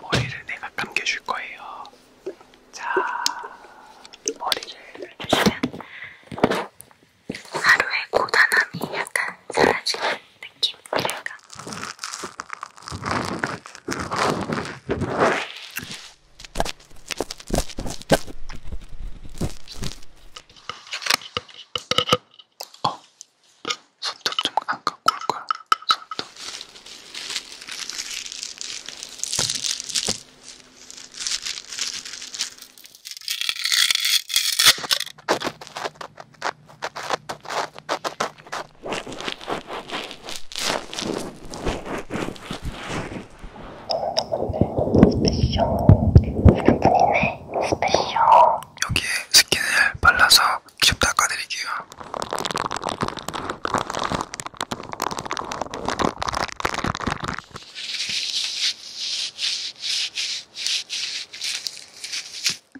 머리를 내가 감겨줄 거예요. 자, 머리를 해주면 하루의 고단함이 약간 사라지는 느낌이랄까. 어, 손톱 좀안 깎고 올 거야. 손톱. 여기에 스킨을 발라서 직접 닦아드릴게요.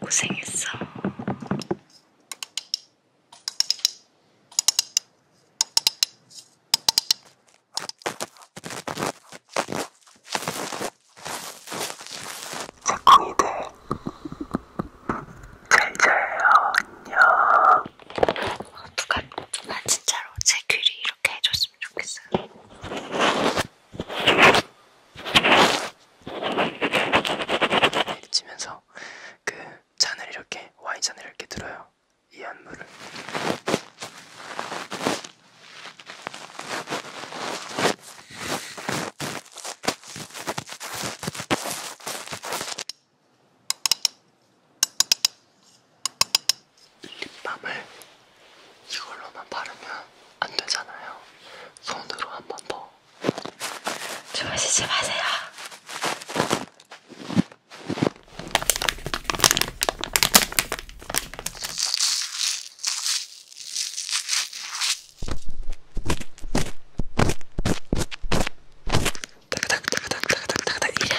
고생했어. 착한 이들 잘 자요. 안녕. 어, 누가 나 진짜로 제 귀를 이렇게 해줬으면 좋겠어요. 치면서 그 잔을 이렇게 와인 잔을 이렇게 들어요. 이 안무를. 립밤을 이걸로만 바르면 안 되잖아요. 손으로 한 번 더. 주무시지 마세요. 따가닥따가닥따가닥따가닥 이야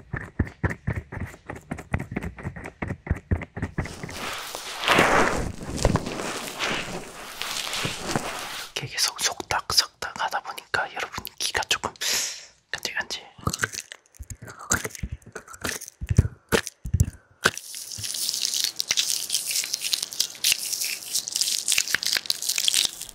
계속 속닥속닥 하다 보니까 여러분 귀가 조금 간질간질.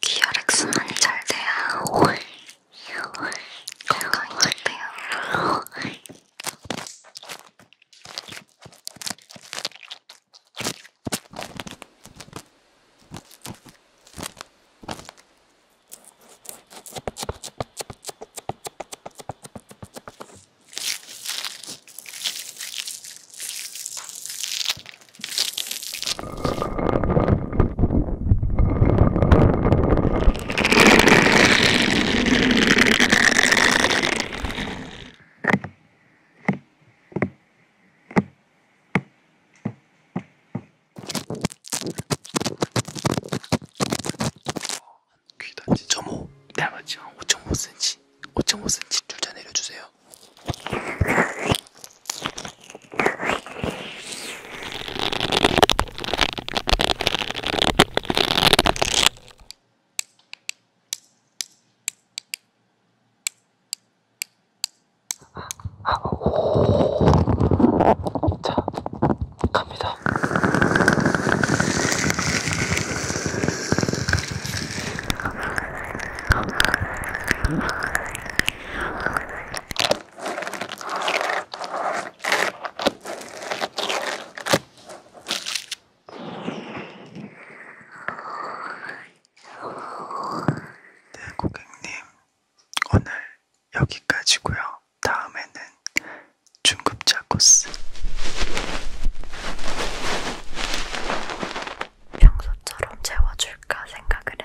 기혈액순환이 잘 돼야 건강이 잘 돼요. 5.5 닮았죠? 5.5cm 5.5cm 둘다 내려주세요 자, 갑니다. 네, 고객님, 오늘 여기까지고요. 다음에는 중급자 코스. 평소처럼 채워줄까 생각을 그랬는데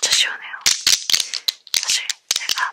진짜 시원해요. 사실 제가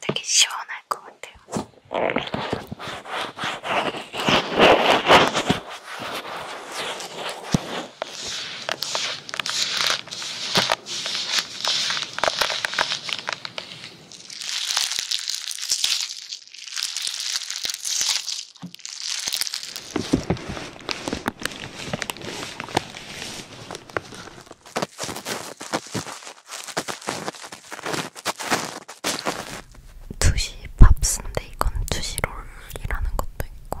되게 시원할 것 같아요. 2시 밥순데 이건 2시 롤이라는 것도 있고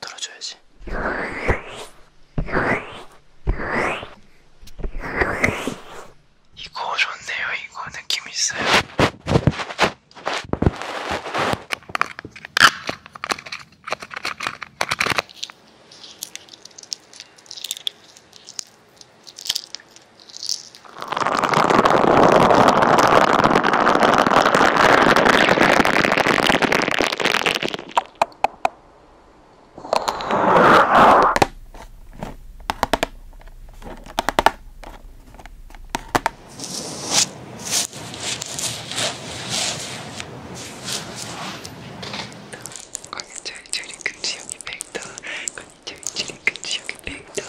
들어줘야지. 이거 좋네요. 이거 느낌 있어요. 건인철 출입금 지역이 백다. 건인철 출입금 지역이 백다.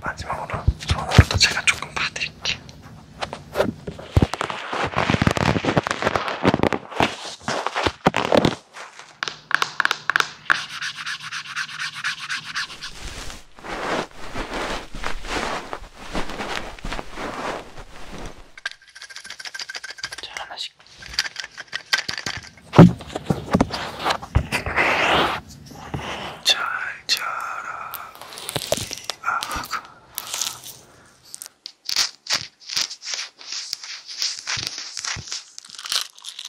마지막으로 손으로도 제가 조금 봐드릴게요. 자, 하나씩. 잘 자라. 아, 그.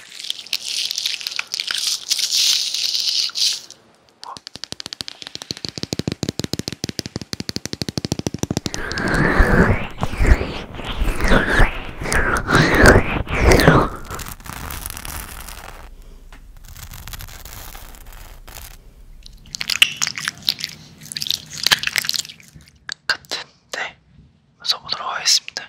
같은데 써보도록 하겠습니다.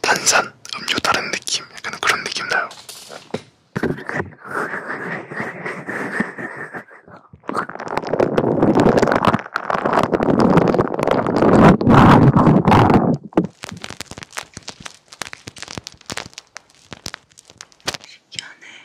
탄산 음료 다른 느낌 약간 그런 느낌 나요. 신기하네.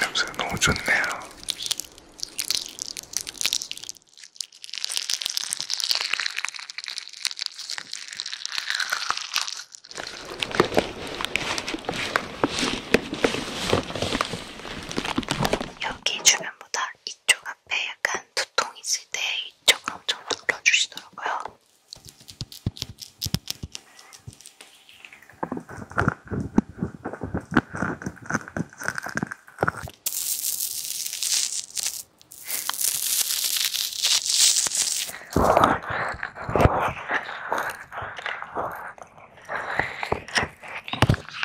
냄새 너무 좋네요. 여기 주변보다 이쪽 앞에 약간 약간 두통 있을 때 이쪽을 엄청 눌러주시더라고요.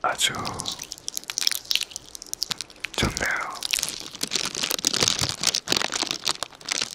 아주 좋네요.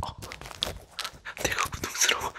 어. 내가 고통스러워.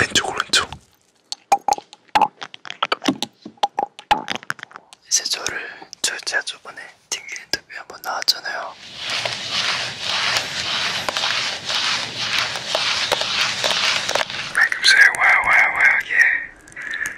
왼쪽 오른쪽 이제 저를 저 제가 저번에 튕기 인터뷰 한번 나왔잖아요. 방금 아, 전에 와와와 예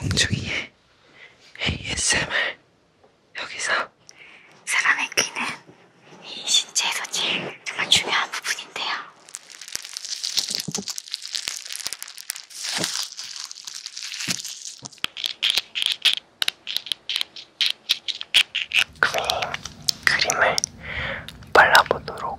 엉중이의 ASMR 여기서 사람의 귀는 이 신체에서 제일 정말 중요한 부분인데요. 그림을 발라보도록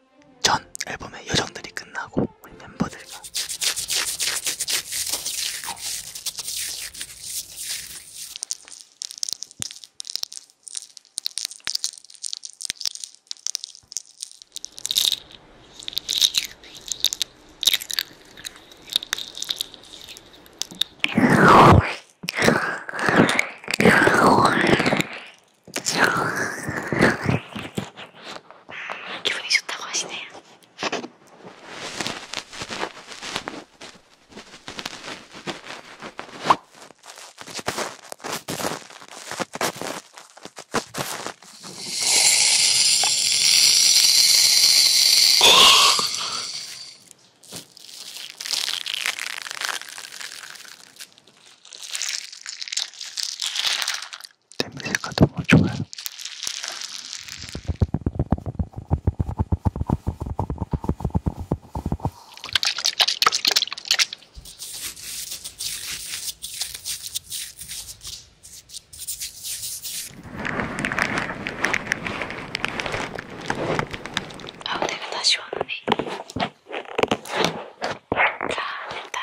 전 앨범의 여정들이 끝나고 우리 멤버들과 기분이 좋다고 하시네요. 냄새가 너무 좋아요. 아, 내가 다시 오는데. 자, 일단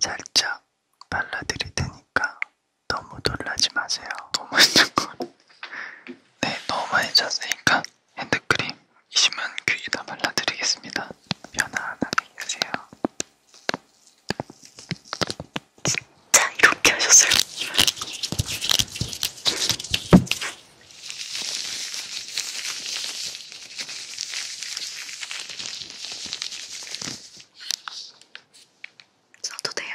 살짝 발라드릴 테니까 너무 놀라지 마세요. 너무 했던 걸. 네, 너무 많이 잤으니까 핸드크림 20만 귀에다 발라드리겠습니다. 편안하게 계세요. 진짜 이렇게 하셨어요? 써도 돼요?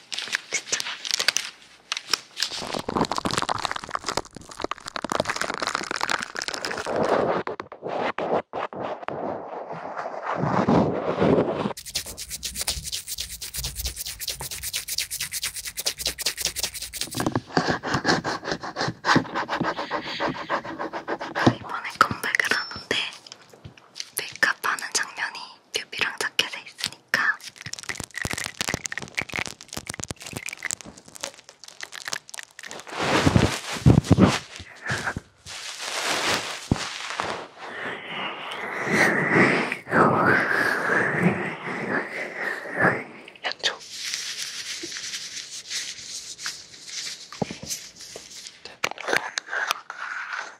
이번에 컴백을 하는데 메이크업 하는 장면이 큐피랑 자켓에 있으니까 몇초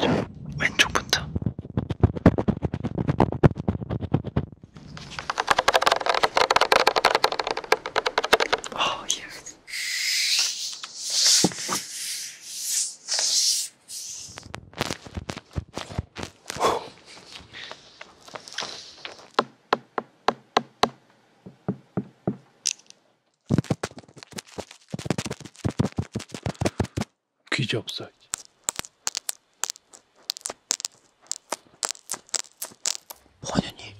자, 왼쪽부터. 아, 예. 귀지 없어. 원현이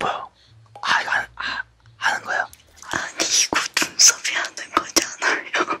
뭐야? 아 이거 아, 아, 아 하는 거야? 아니 이거 눈썹이 하는 거잖아요.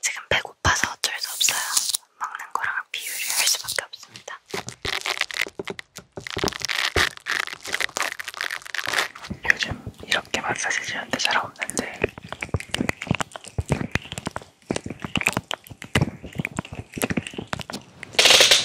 지금 배고파서 어쩔 수 없어요. 먹는 거랑 비유를 할 수밖에 없습니다. 요즘 이렇게 마사지 지는데 잘 없는데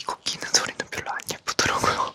이거 끼는 소리는 별로 안 예쁘더라고요.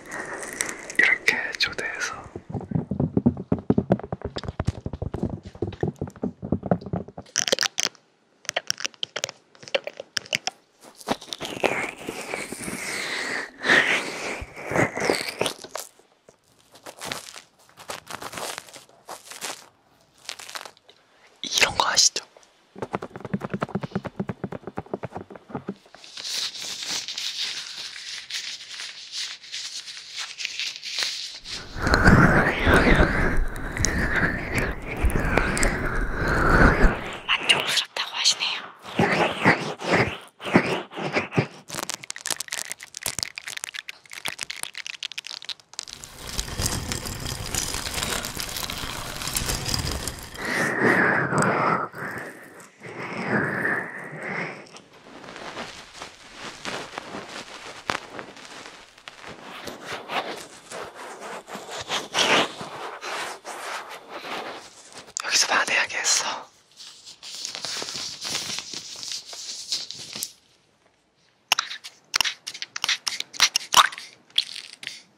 이렇게 초대해서 이런 거 아시죠? 만족스럽다고 하시네요. 여기서 반해야겠어.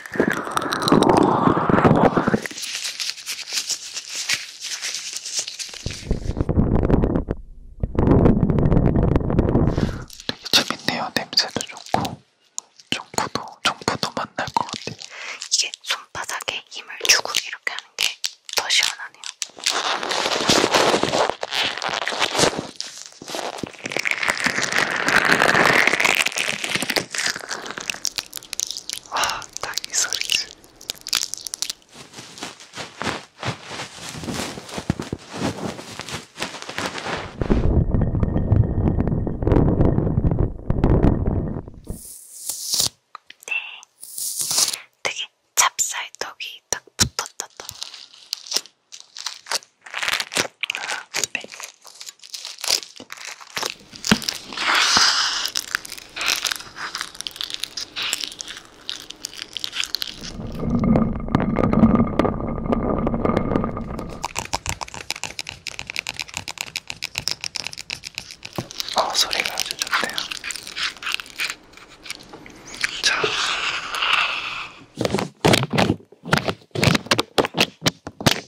되게 재밌네요. 냄새도 좋고 정부도 정부도 만날 것 같아요. 이게 손바닥에 힘을 주고 이렇게 하는 게 더 시원하네요. 아, 딱이 소리지. 네, 되게 찹쌀떡이 딱 붙었다. 아, 네. 어, 소리가 아주 좋네요. 자.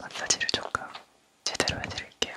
마사지를 조금 제대로 해드릴게요.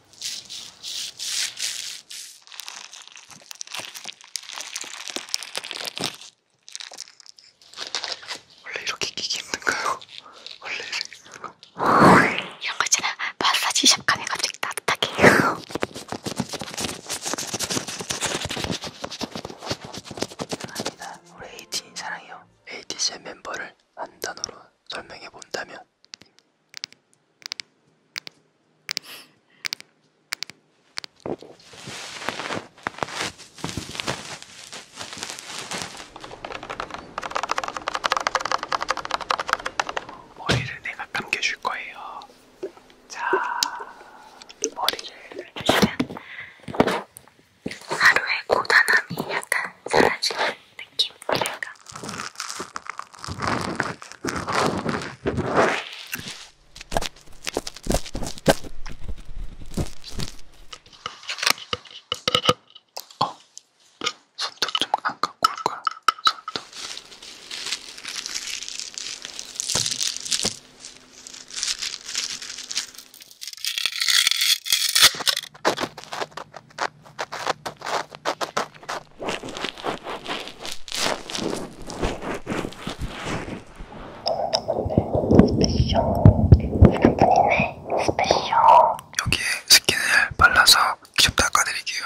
원래 이렇게 끼기 힘든가요? 원래 이런 거 있잖아 마사지 샵 가면 갑자기 따뜻하게 감사합니다 우리 에이틴 사랑해요 에이티스의 멤버를 한 단어로 설명해 본다면 머리를 내가 감겨줄 거예요. 자, 머리를 감겨주면 하루의 고단함이 약간 사라지는 느낌? 그러니까 어, 손톱 좀안 갖고 올 거야. 손톱. 스페셜 샴푸이네 스페셜 여기에 스킨을 발라서 직접 닦아드릴게요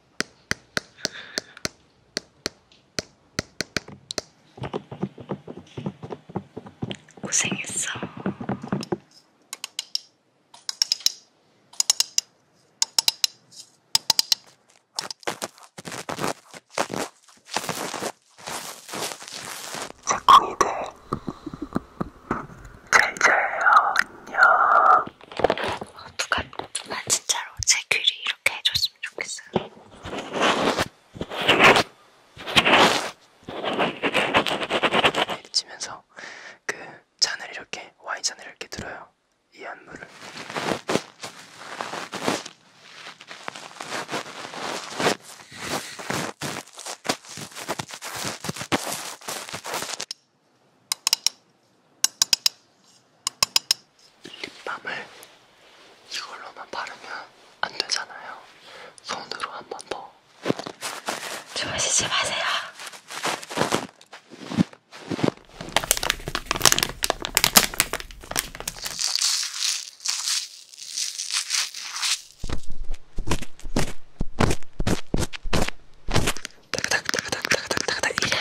고생했어. 새콩이들 잘 자요. 안녕. 어, 누가 나 진짜로 제 귀를 이렇게 해줬어. 했으면 좋겠어요. 내리치면서 그 잔을 이렇게 와인 잔을 이렇게 들어요. 이 안무를. 립밤을 이걸로만 바르면 안 되잖아요. 손으로 한 번 더. 주무시지 마세요. 따가닥따가닥따가닥따가닥 이야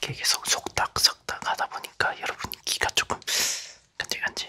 이렇게 계속 속닥속닥 하다 보니까 여러분 귀가 조금 간질간질.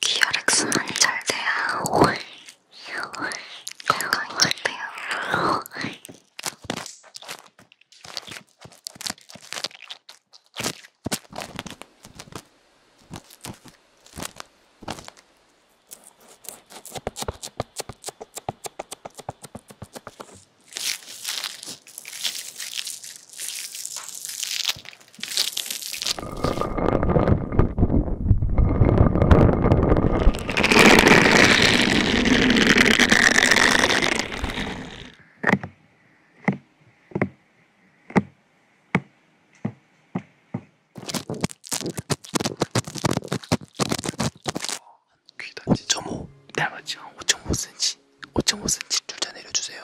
기혈액순환이 잘 돼야 건강이 잘 돼요. 귀 단지 점오 얇았지 한 5.5cm 5.5cm 둘다 내려주세요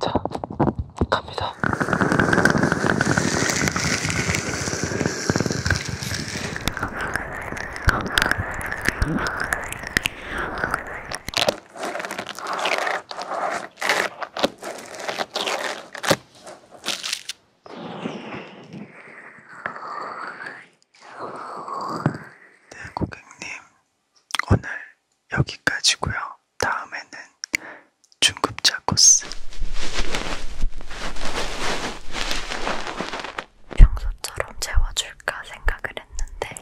자, 갑니다. 네, 고객님. 오늘 여기까지고요. 다음에는 중급자 코스. 평소처럼 채워줄까 생각을 했는데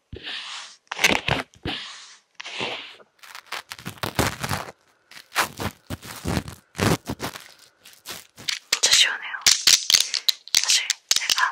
진짜 시원해요. 사실 제가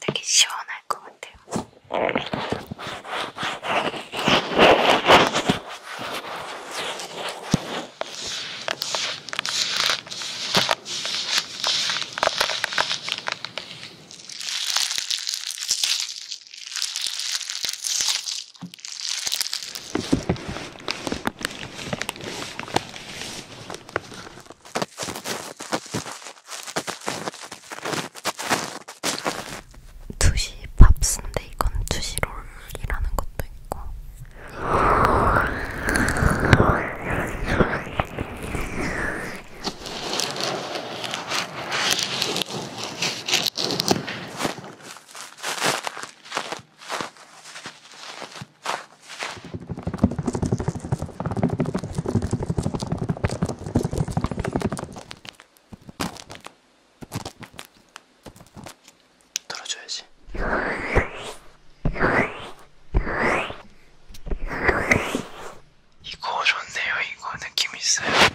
되게 시원할 것 같아요. 2시 밥 순대 이건 2시 롤이라는 것도 있고 들어줘야지. 이거 좋네요. 이거 느낌 있어요.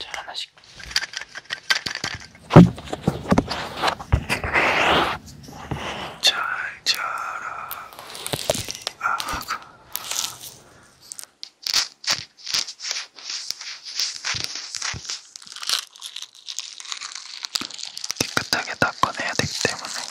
자, 하나씩. 잘 자라. 아, 깨끗하게 닦아내야 되기 때문에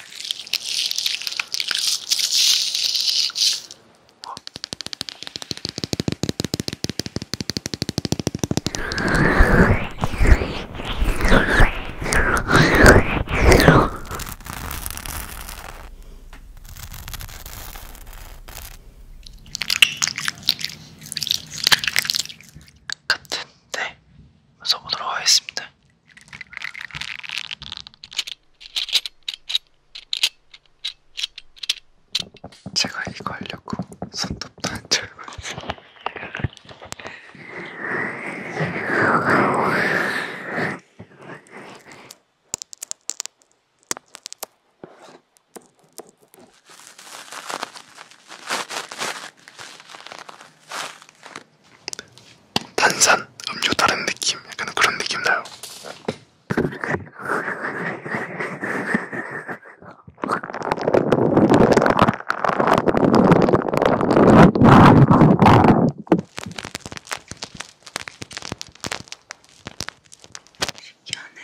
같은데 써보도록 하겠습니다. 제가 이거 하려고 손톱도 안 자르고 탄산 음료 다른 느낌 약간 그런 느낌 나요. 신기하네.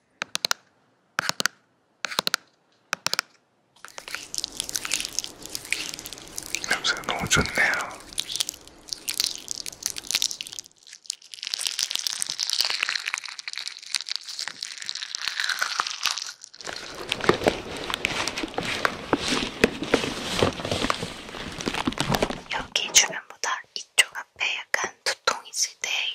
냄새가 너무 좋네요. 여기 주변보다 이쪽 앞에 약간 두통 있을 때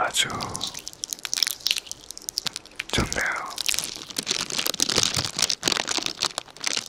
아주 좋네요.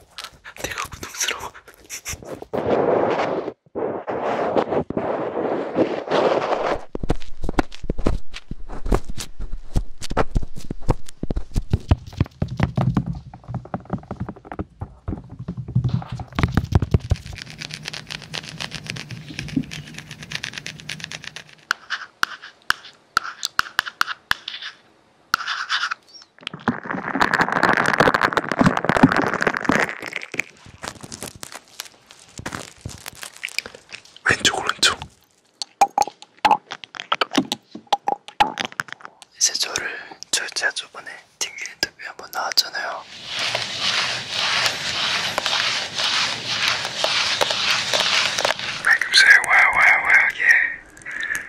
내가 고통스러워. 왼쪽 오른쪽 이제 저를 철제가 저번에 튕긴 인터뷰 한번 나왔잖아요 방금 전에 와와와 예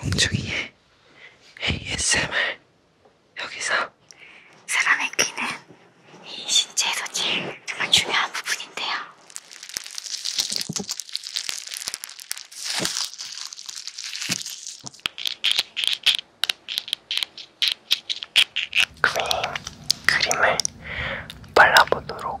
홍중이의 ASMR 여기서 사람의 귀는 이 신체 소질 정말 중요한 부분인데요. 그림, 그림을 발라보도록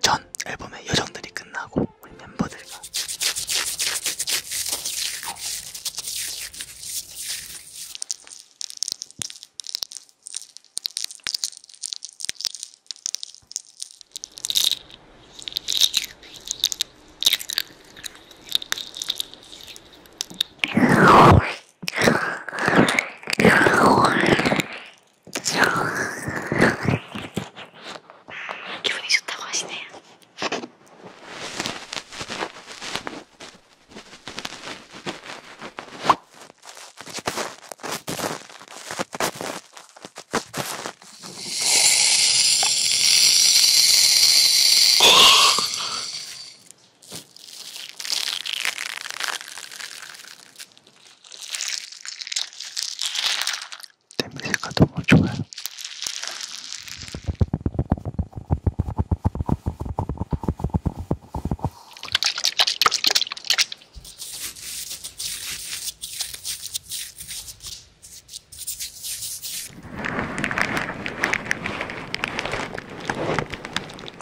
전 앨범의 여정들이 끝나고 우리 멤버들과 기분이 좋다고 하시네요. 냄새가 너무 좋아요.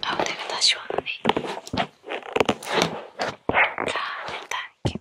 아우 내가 다시 오는데. 자, 일단 이렇게.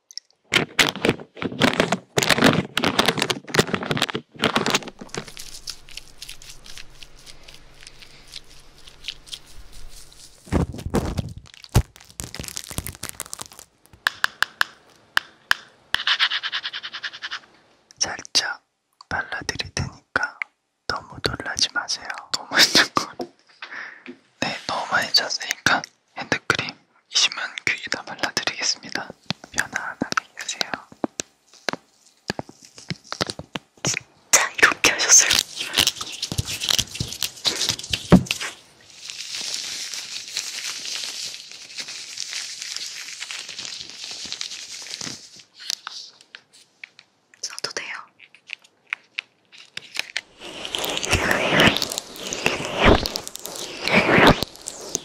살짝 발라드릴 테니까 너무 놀라지 마세요. 너무 짠 거. 네, 너무 많이 잤으니까 핸드크림 20만 귀에다 발라드리겠습니다. 편안하게 계세요. 진짜 이렇게 하셨어요? 써도 돼요.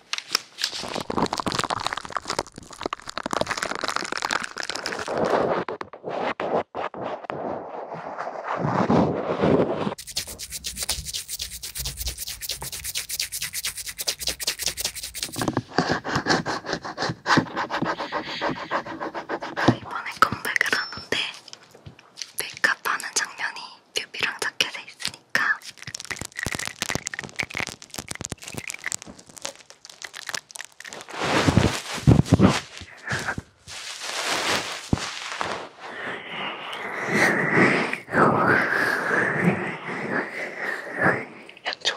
이번에 컴백을 하는데 메이크업 하는 장면이 큐비랑 자켓에 있으니까 약초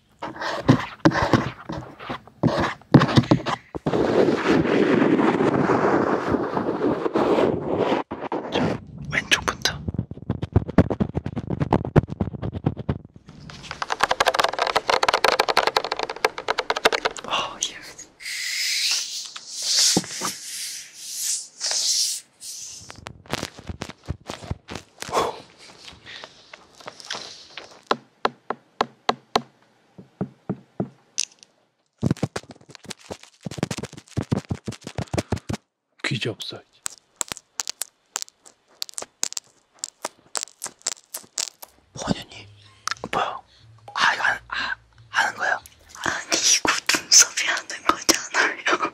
자, 왼쪽부터. 어, 예. 귀지 없어. 원현이 뭐야? 아 이거 안, 아, 하는 거야? 아니 이거 눈썹이 하는 거잖아요.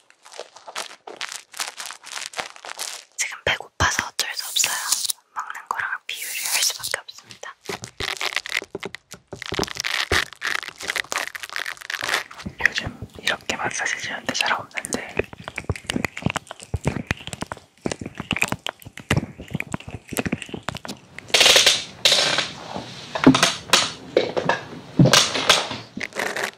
지금 배고파서 어쩔 수 없어요. 먹는 거랑 비유를 할 수밖에 없습니다. 요즘 이렇게 마사지 지는데 잘 없는데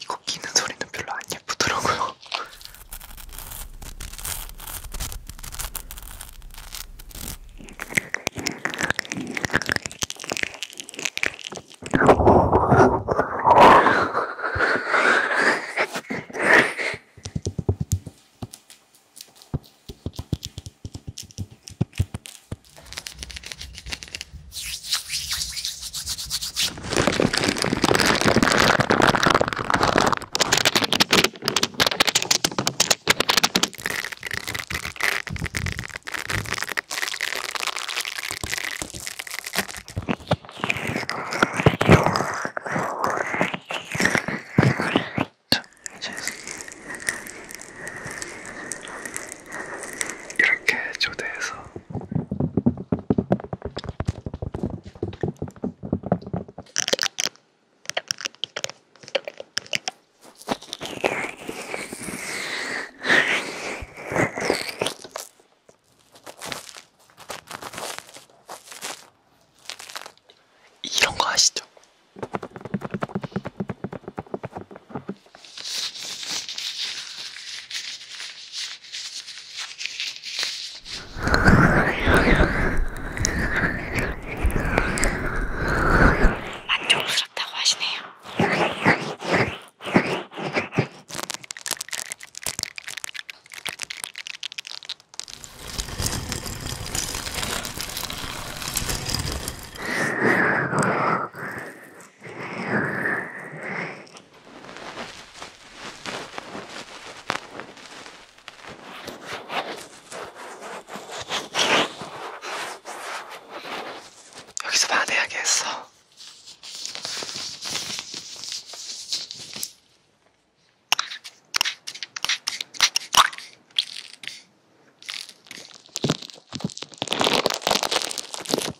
이거 끼는 소리는 별로 안 예쁘더라고요. 이렇게 초대해서 이런 거 아시죠? 만족스럽다고 하시네요. 여기서 반해야겠어.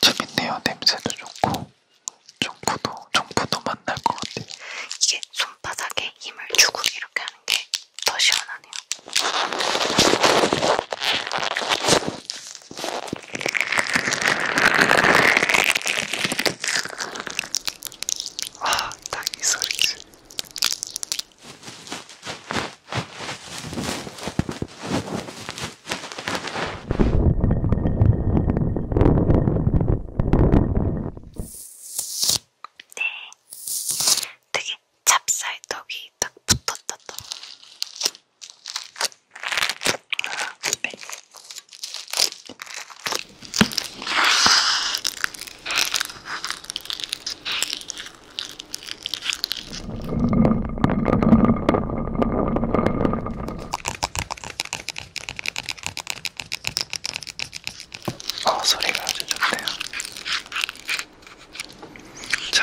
되게 재밌네요. 냄새도 좋고 정부도 정부도 만날 것 같아요. 이게 손바닥에 힘을 주고 이렇게 하는 게 더 시원하네요. 아, 딱이 소리지. 네, 되게 찹쌀떡이 딱 붙었다. 또. 네. 어, 소리가 아주 좋네요. 자.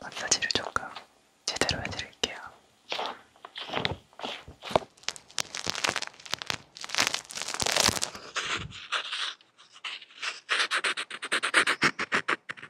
마사지를 조금 제대로 해드릴게요.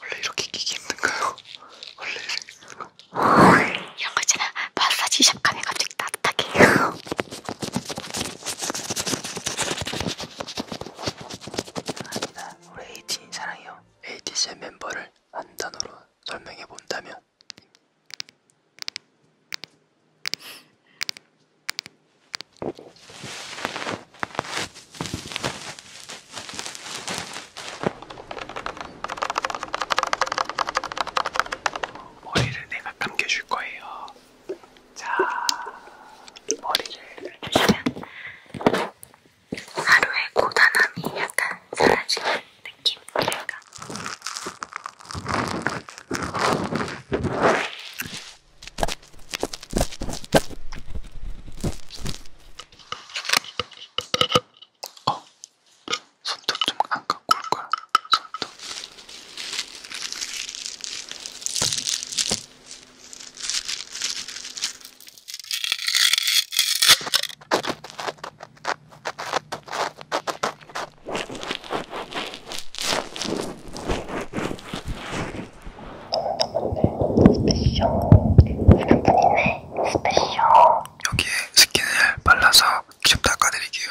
원래 이렇게 끼기 힘든가요? 원래 이렇게 이런 거 있잖아 마사지 샵 가면 갑자기 따뜻하게 아니다 우리 에이틴 사랑해요 에이티스의 멤버를 한 단어로 설명해 본다면 머리를 내가 감겨줄 거예요. 자, 머리를 해주면 하루의 고단함이 약간 사라지는 느낌? 그러니까. 어, 손톱 좀안 갖고 올 거야. 손톱. 여기에 스킨을 발라서 직접 닦아드릴게요.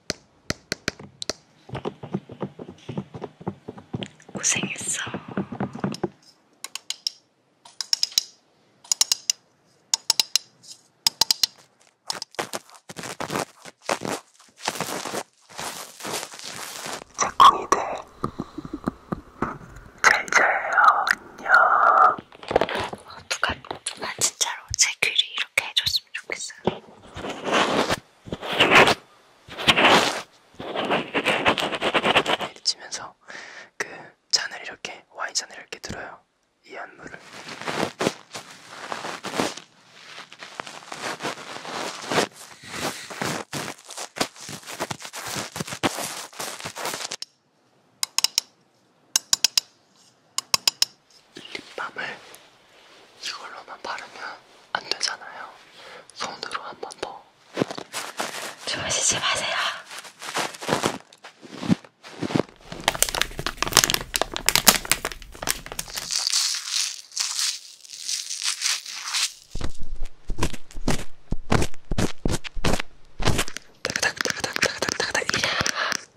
고생했어. 짝꿍이들 잘 자요 안녕. 아, 누가 누가 진짜로 제 귀를 이렇게 해줬어. 해주셨으면 좋겠어요. 치면서 그 잔을 이렇게 와인 잔을 이렇게 들어요. 이 안무를. 립밤을 이걸로만 바르면 안 되잖아요. 손으로 한 번 더. 주무시지 마세요. 따가닥따가닥따가닥따가닥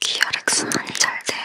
기혈액순환이 잘 돼야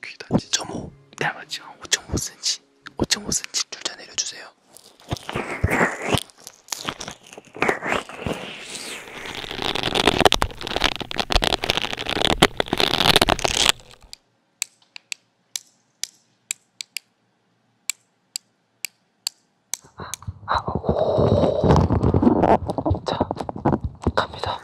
귀가 1.5 나머지 5.5cm 5.5cm 둘다 내려주세요 자, 갑니다.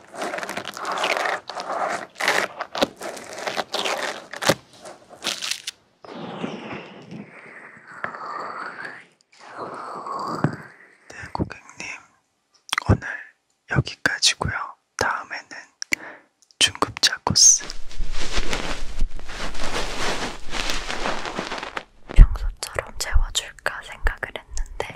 네, 고객님. 오늘 여기까지고요. 다음에는 중급자 코스. 평소처럼 재워줄까 생각을 했는데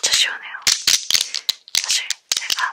진짜 시원해요. 사실 제가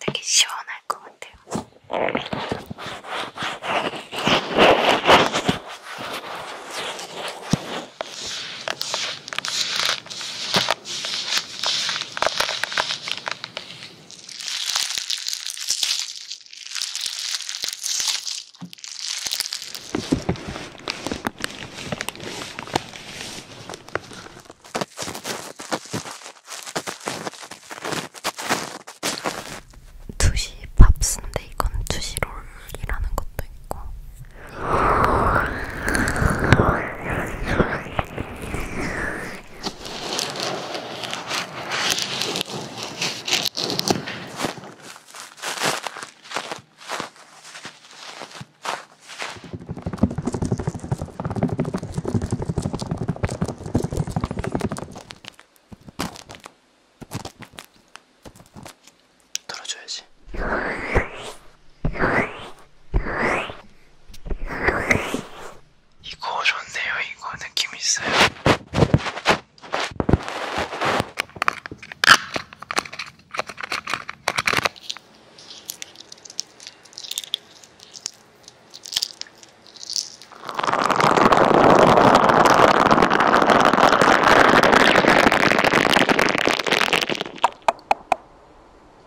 되게 시원할 것 같아요. 2시 밥순데 이건 2시 롤이라는 것도 있고 들어줘야지. 이거 좋네요. 이거 느낌 있어요.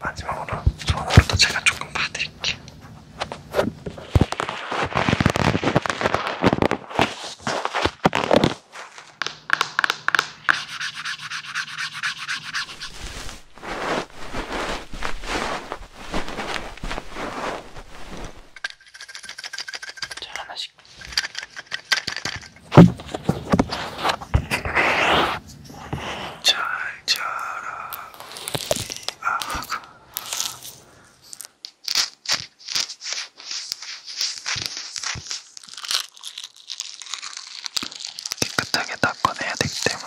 마지막으로 손으로도 제가 조금 봐드릴게요. 자, 하나씩. 잘 자라. 아, 그. 깨끗하게 다 꺼내야 되기 때문에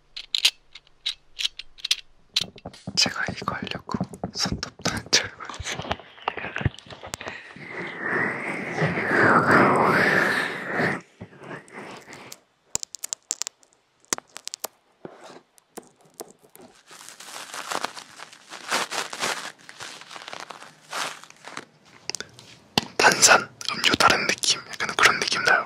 제가 이거 하려고 손톱도 안 자르고 탄산 음료 다른 느낌 약간 그런 느낌 나요.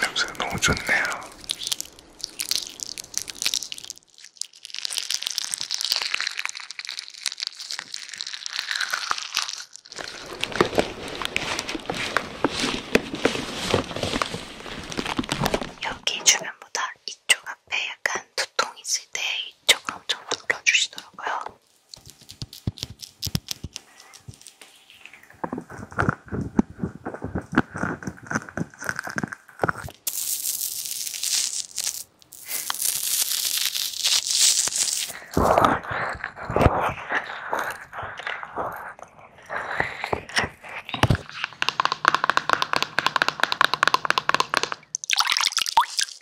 냄새가 너무 좋네요. 여기 주변보다 이쪽 앞에 약간 두통 있을 때 이쪽으로 엄청 눌러주시더라고요.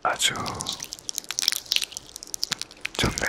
아주 좋네요.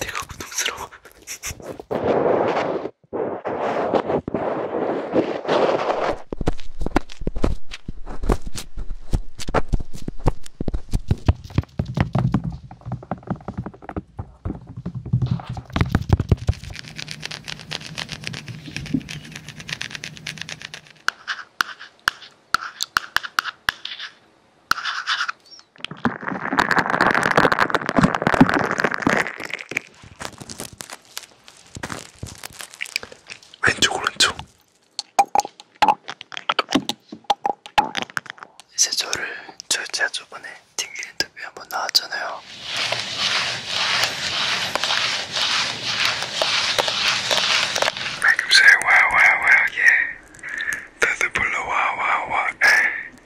내가 고통스러워. 왼쪽 오른쪽 이제 저를 저 제가 저번에 튕길 인터뷰 한번 나왔잖아요. 방금 전에 와와와 예, 다들 불러 와와와 에.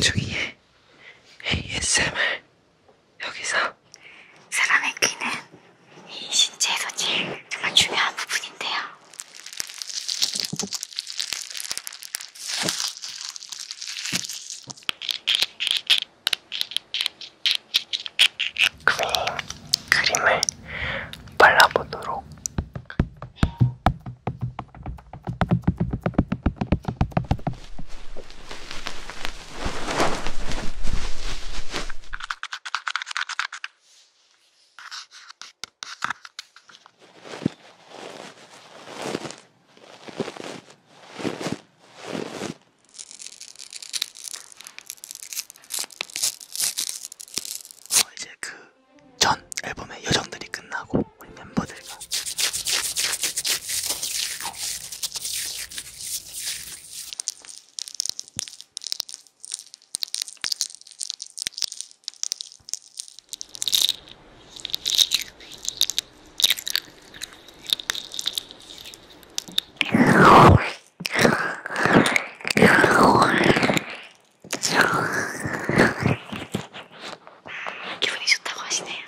홍중이의 ASMR 여기서 사람의 귀는 이 신체 소질 정말 중요한 부분인데요. 그림, 그림을 발라보도록 어, 이제 그 전 앨범의 여정들이 끝나고 우리 멤버들과 아, 기분이 좋다고 하시네요.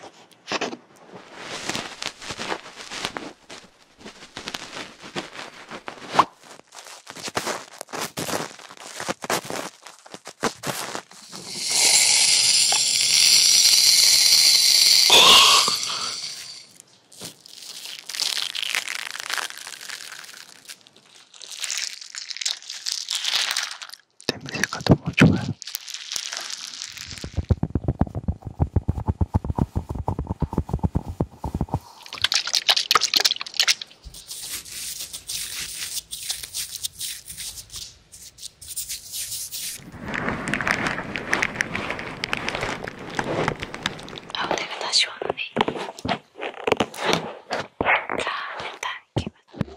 냄새가 너무 뭐 좋아요. 아우 내가 다시 왔네. 자, 일단 이렇게 만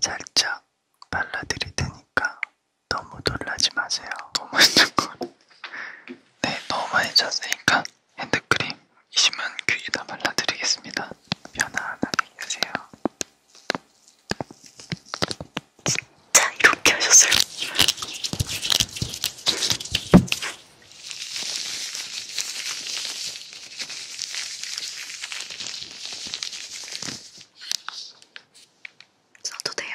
살짝 발라드릴 테니까 너무 놀라지 마세요. 너무 네, 너무 많이 잤으니까 핸드크림 이 신문 그 귀에다 발라드리겠습니다. 편안하게 계세요. 진짜 이렇게 하셨어요? 써도 돼요.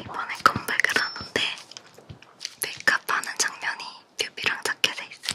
이번에 컴백을 하는데 메이크업 하는 장면이 뮤비랑 자켓에 있어요.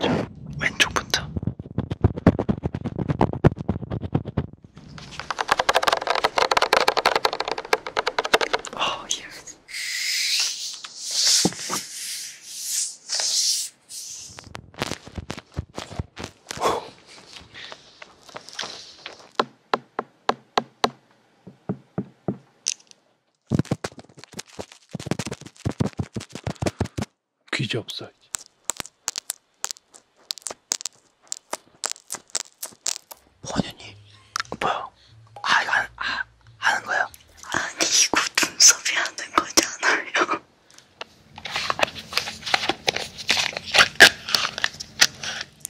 자, 왼쪽부터. 아, 예. 귀지 없어. 번연이 뭐야? 아 이거 하, 아, 하는 거야? 아니 이거 눈썹이 하는 거잖아요.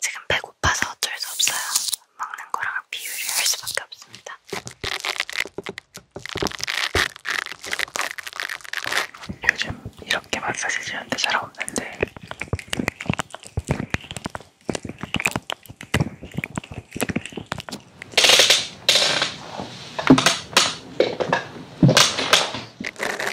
지금 배고파서 어쩔 수 없어요. 먹는 거랑 비유를 할 수밖에 없습니다. 요즘 이렇게 마사지 지는데 잘 없는데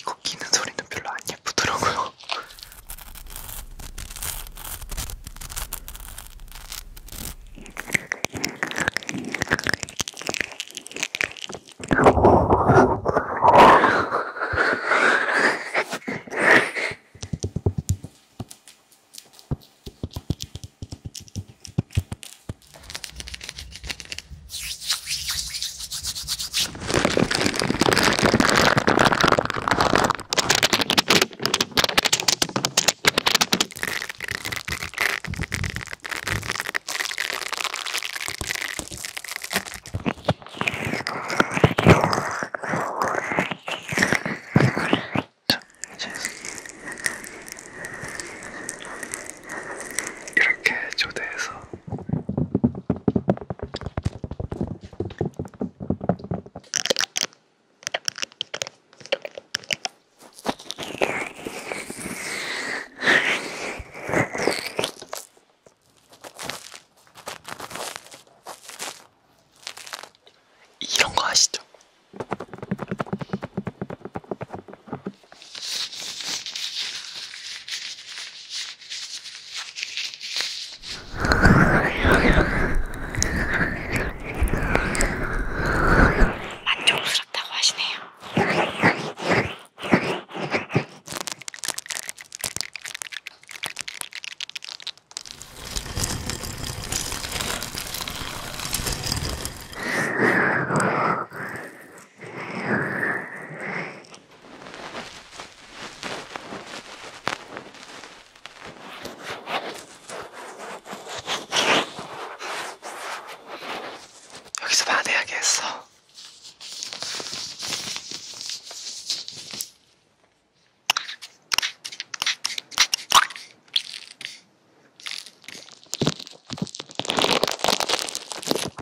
이거 끼는 소리는 별로 안 예쁘더라고요. 이렇게 초대해서 이런 거 아시죠? 만족스럽다고 하시네요. 여기서 받아야겠어.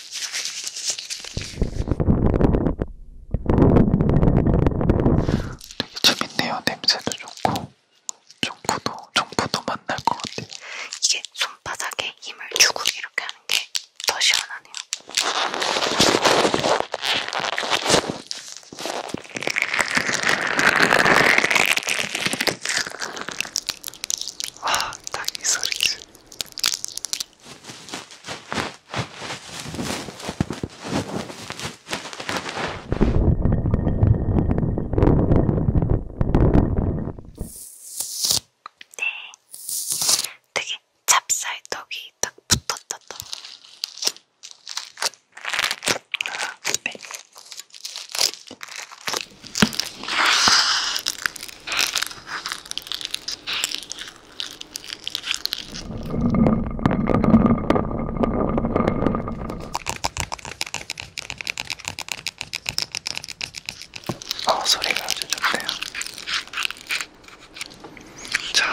되게 재밌네요. 냄새도 좋고 정부도 정부도 만날 것 같아요. 이게 손바닥에 힘을 주고 이렇게 하는 게 더 시원하네요. 와, 아, 딱이 소리지. 네, 되게 찹쌀떡이 딱 붙었다 또. 네. 어, 소리가 아주 좋네요. 자.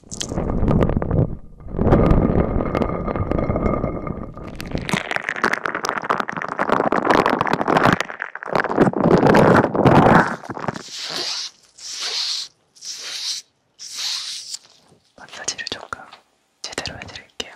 마사지를 조금 제대로 해드릴게요.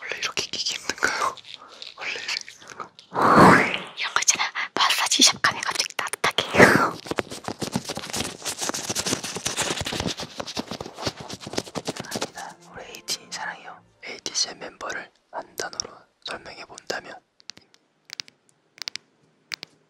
원래 이렇게 끼기 힘든가요? 원래 이렇게 힘든가? 이런 거 있잖아 마사지 샵 가면 갑자기 따뜻하게 사랑합니다 우리 에이틴이 사랑해요 에이티의 멤버를 한 단어로 설명해 본다면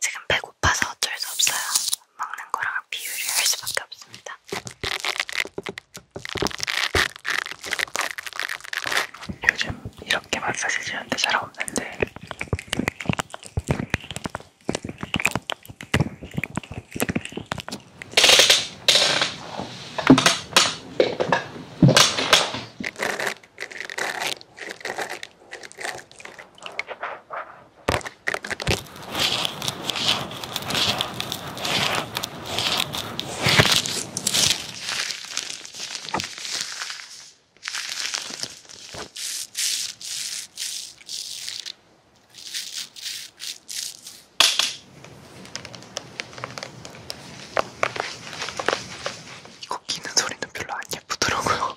지금 배고파서 어쩔 수 없어요. 먹는 거랑 비유를 할 수밖에 없습니다. 요즘 이렇게 마사지 지는데 잘 없는데 꺾이는 소리는 별로 안 예쁘더라고요.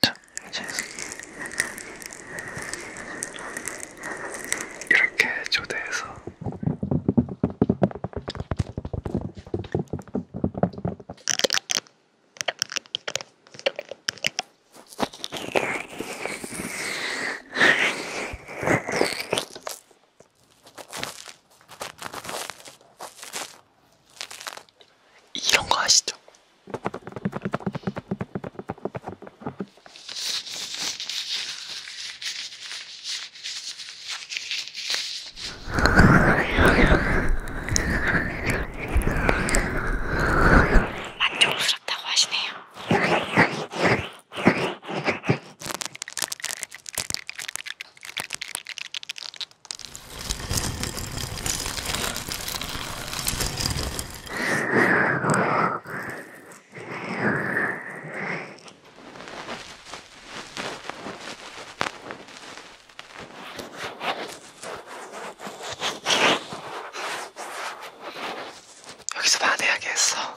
자, 이제 이렇게 초대해서 이런 거 아시죠? 만족스럽다고 하시네요. 여기서 반해야겠어.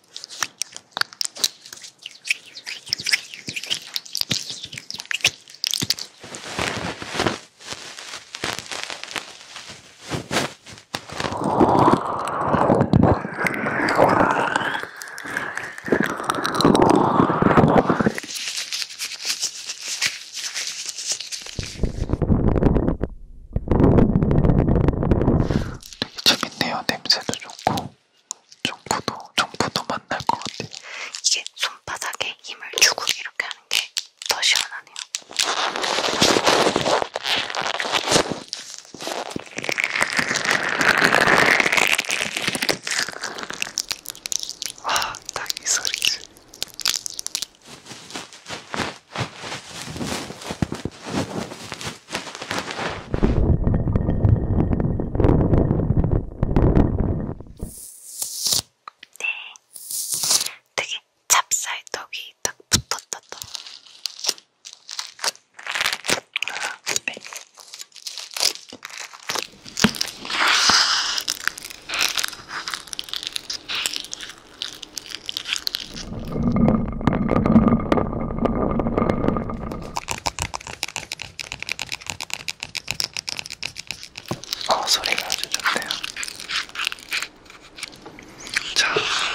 되게 재밌네요. 냄새도 좋고. 종부도, 종부도 만날 것 같아요. 이게 손바닥에 힘을 주고 이렇게 하는 게 더 시원하네요. 와, 아, 딱이 소리지. 네, 되게 찹쌀떡이 딱 붙었다. 또. 네. 어, 소리가 아주 좋네요. 자. 아!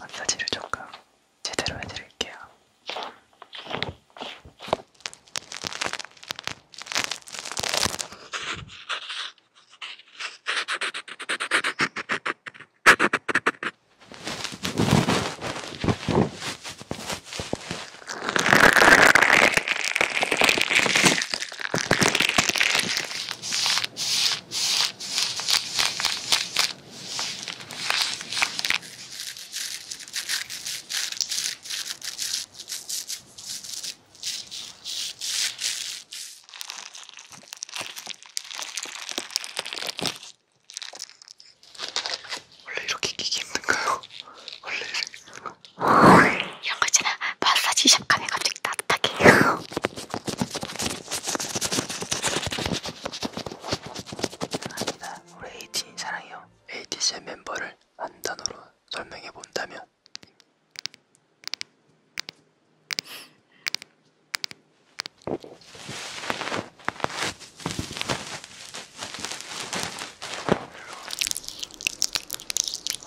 마사지를 조금 제대로 해드릴게요. 원래 이렇게 끼기 힘든가요? 원래 이런 거 있잖아. 마사지 샵 가면 갑자기 따뜻하게. 감사합니다. 우리 에이틴 사랑해요. 에이티의 멤버를 한 단어로 설명해 본다면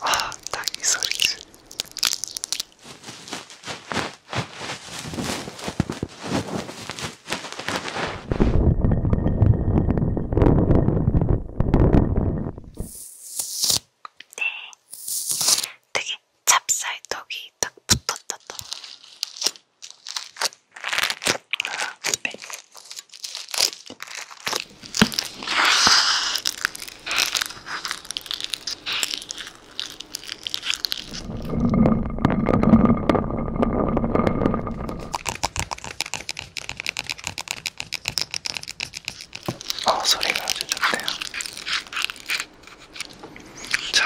아, 딱이 소리지. 네, 되게 찹쌀떡이 딱 붙었다. 네. 어, 소리가 아주 좋네요. 자.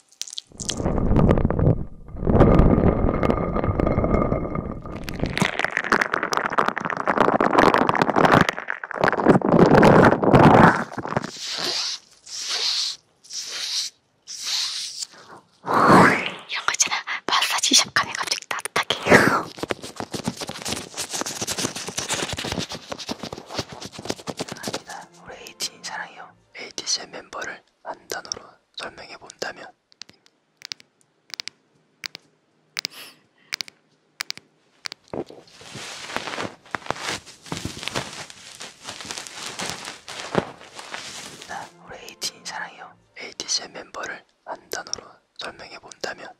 이런 거 있잖아. 마사지 샵 가면 갑자기 따뜻하게. 감사합니다. 우리 에이틴 사랑해요. ADC의 멤버를 한 단어로 설명해 본다면 나 우리 에이틴 사랑해요. 에이티스의 멤버를 한 단어로 설명해 본다면